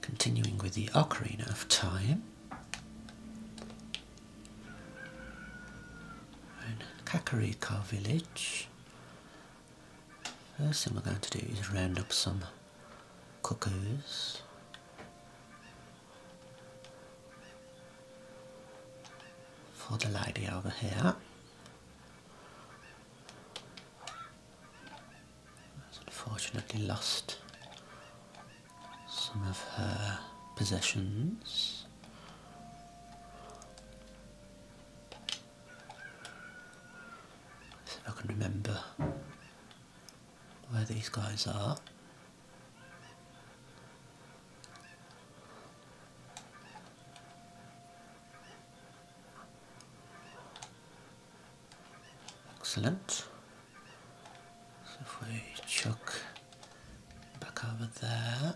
Continuing with the Ocarina of Time. we village. First thing we're going to do is round up some cuckoos. For the lady over here has unfortunately lost some of her possessions. if I can remember where these guys are. Excellent. So if we chuck back over there.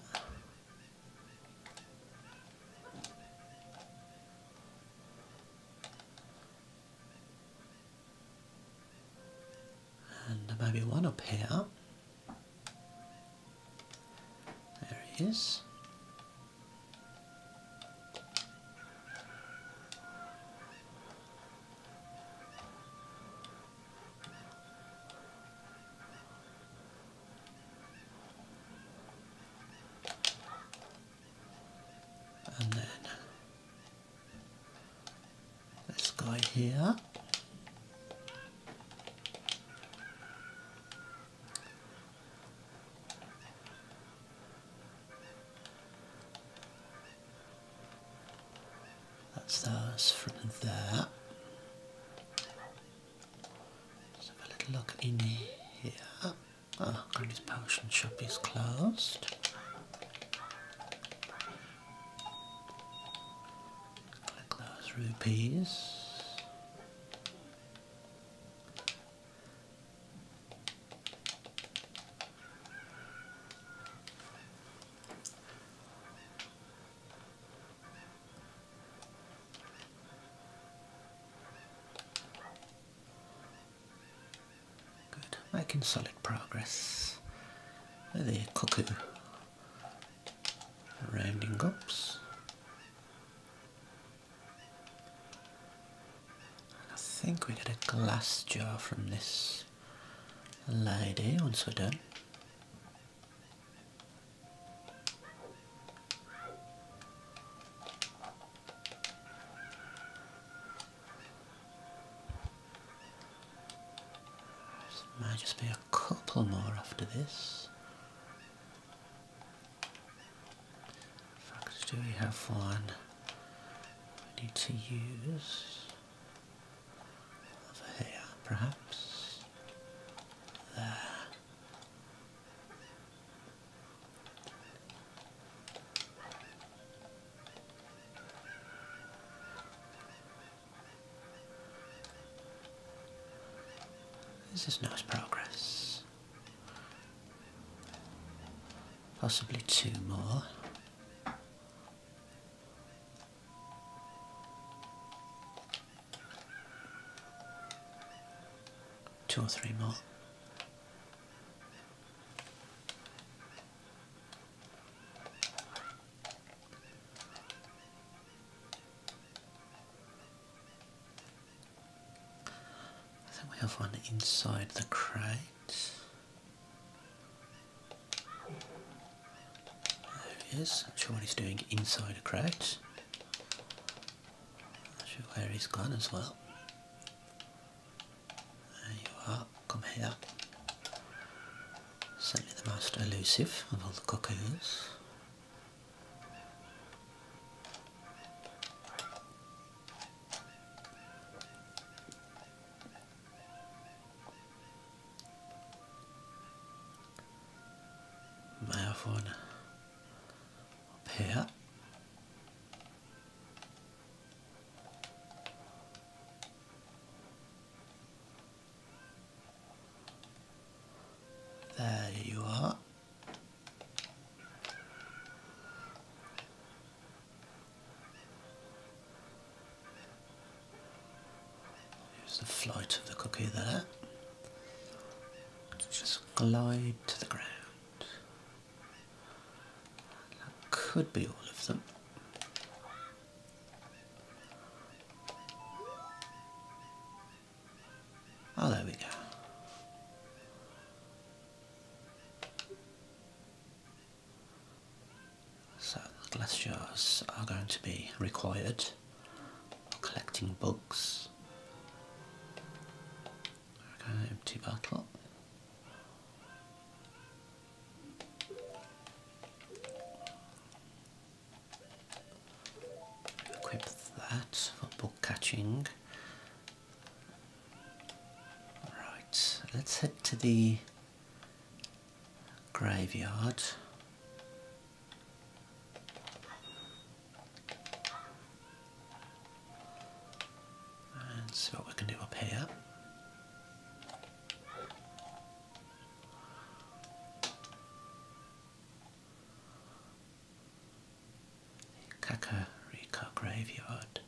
And maybe one up here. There he is. And then this guy here. That's those from there. Let's have a little look in here. Oh, this potion shop is closed. Collect rupees. Good, making solid progress. The cuckoo rounding ups. I think we get a glass jar from this lady once we're done. might just be a couple more after this do we have one we need to use over here perhaps? There. This is nice progress. Possibly two more. Two or three more. I think we have one inside the crate. There it is. I'm sure what he's doing inside a crate. Not sure where he's gone as well. There you are. Come here. Certainly the most elusive of all the cuckoos. May here. There you are. Here's the flight of the cookie there just glide to the ground. That could be all of them. Oh, there we go. So the glass jars are going to be required collecting bugs. Okay, empty bottle. Equip that for book catching. Right, let's head to the graveyard. And see what we can do up here. Kakariko Graveyard.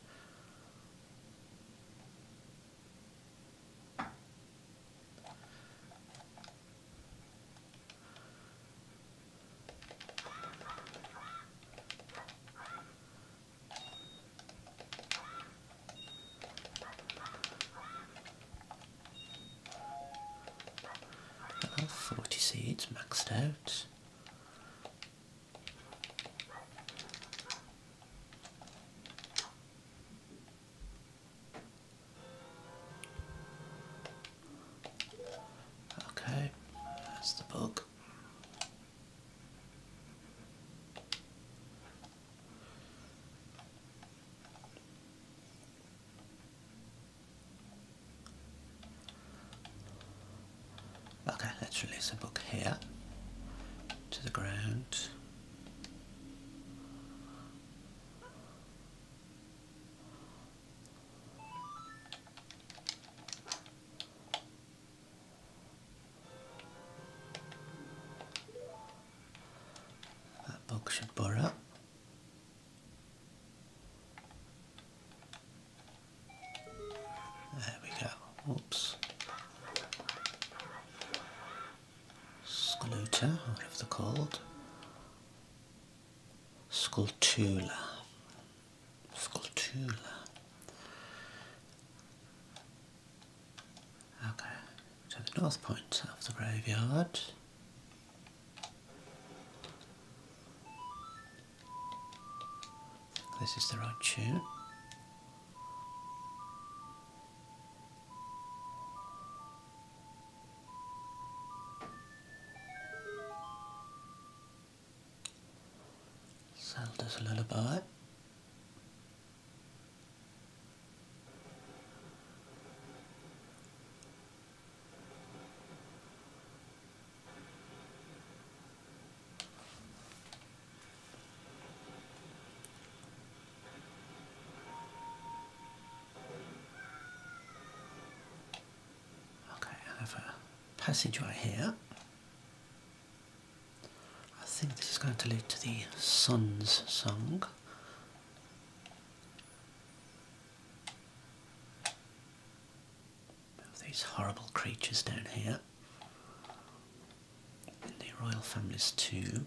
40 seeds maxed out. Okay, that's the bug. Okay, let's release a book here to the ground. That book should burrow. There we go. Oops. Sculuta, whatever they're called. Scultula. Scultula. Okay, to the north point of the graveyard. This is the right tune. Zelda's Lullaby. Okay, I have a passage right here. I think this is going to lead to the Sun's Song. Move these horrible creatures down here. In the royal families too.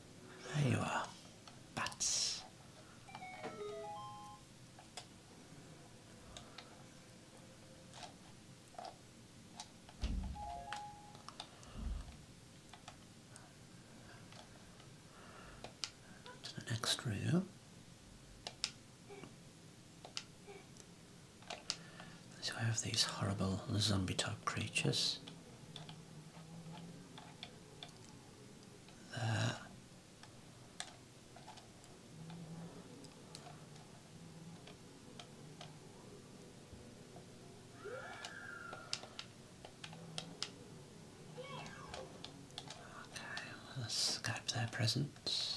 There you are. Bats. To the next room. So I have these horrible zombie type creatures. There. Okay, let's Skype their presence.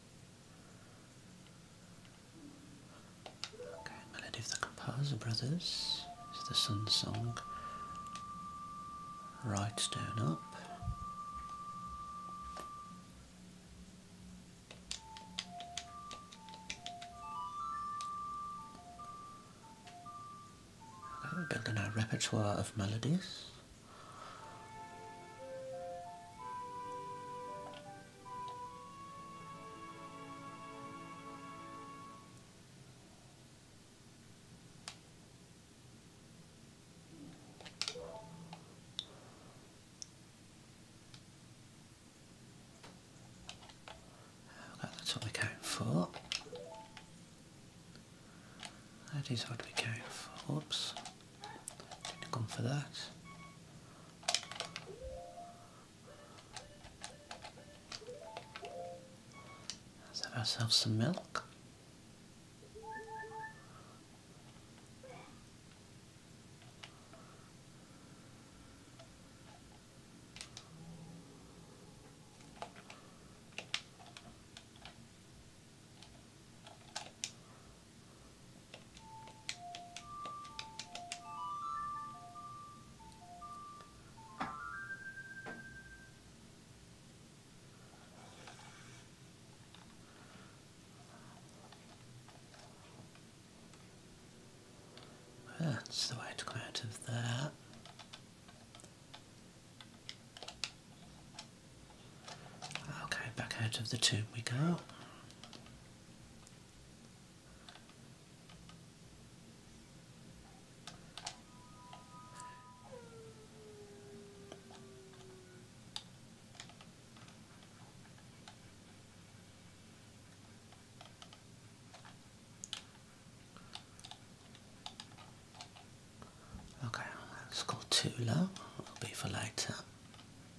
Okay, Melody of the Composer Brothers is the Sun Song. Right down up. Okay, we're building our repertoire of melodies. Well, that's what we're going for. That is what we going for. Oops. Should have gone for that. Let's have ourselves some milk. That's the way to come out of that. Okay, back out of the tube we go. Okay, let has got too low. It'll be for later.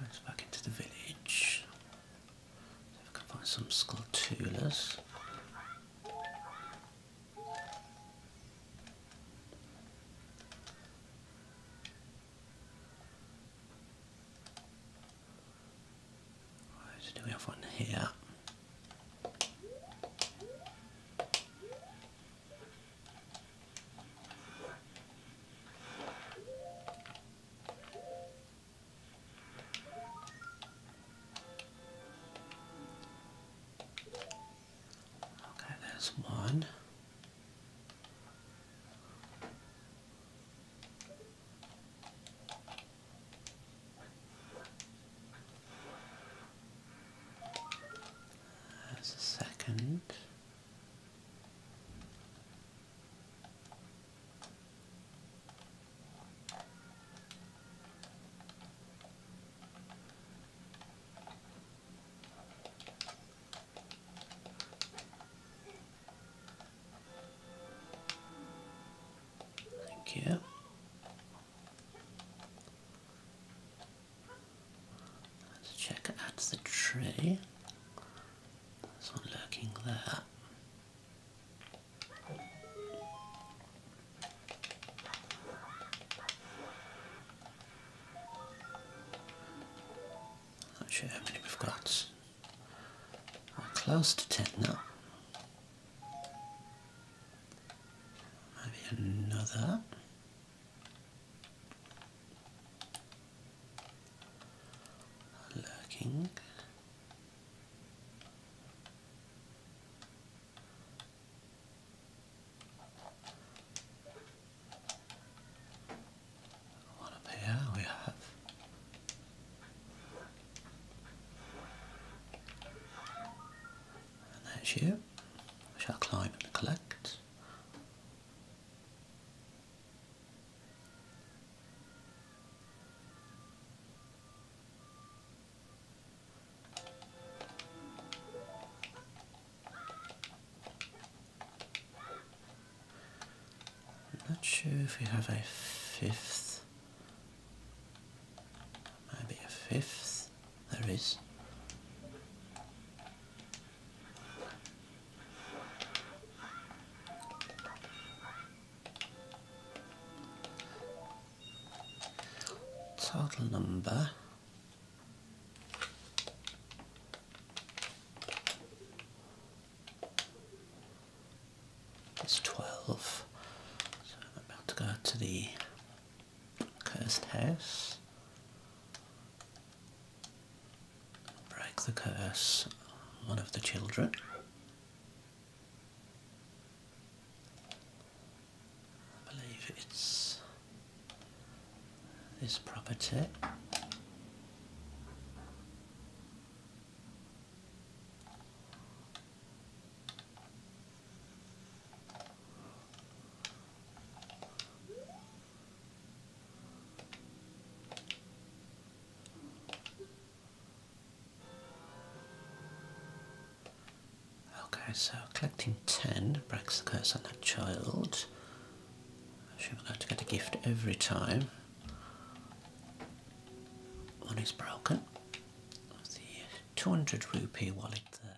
Right, back into the village. See if I can find some skulltulas. Right, do we have one here? Okay, there's one. That's a second. Thank you. Let's check at the tree. There's one lurking there. Not sure how many we've got. We're close to ten now. Maybe another lurking. What up we have and that's you. I shall climb and collect. I'm not sure if we have a fifth. Maybe a fifth. There is. Total number. is 12 so I'm about to go to the Cursed house. Break the curse one of the children. I believe it's this property. Okay, so collecting 10 breaks the curse on that child. Should be able to get a gift every time. One is broken. The 200 rupee wallet there.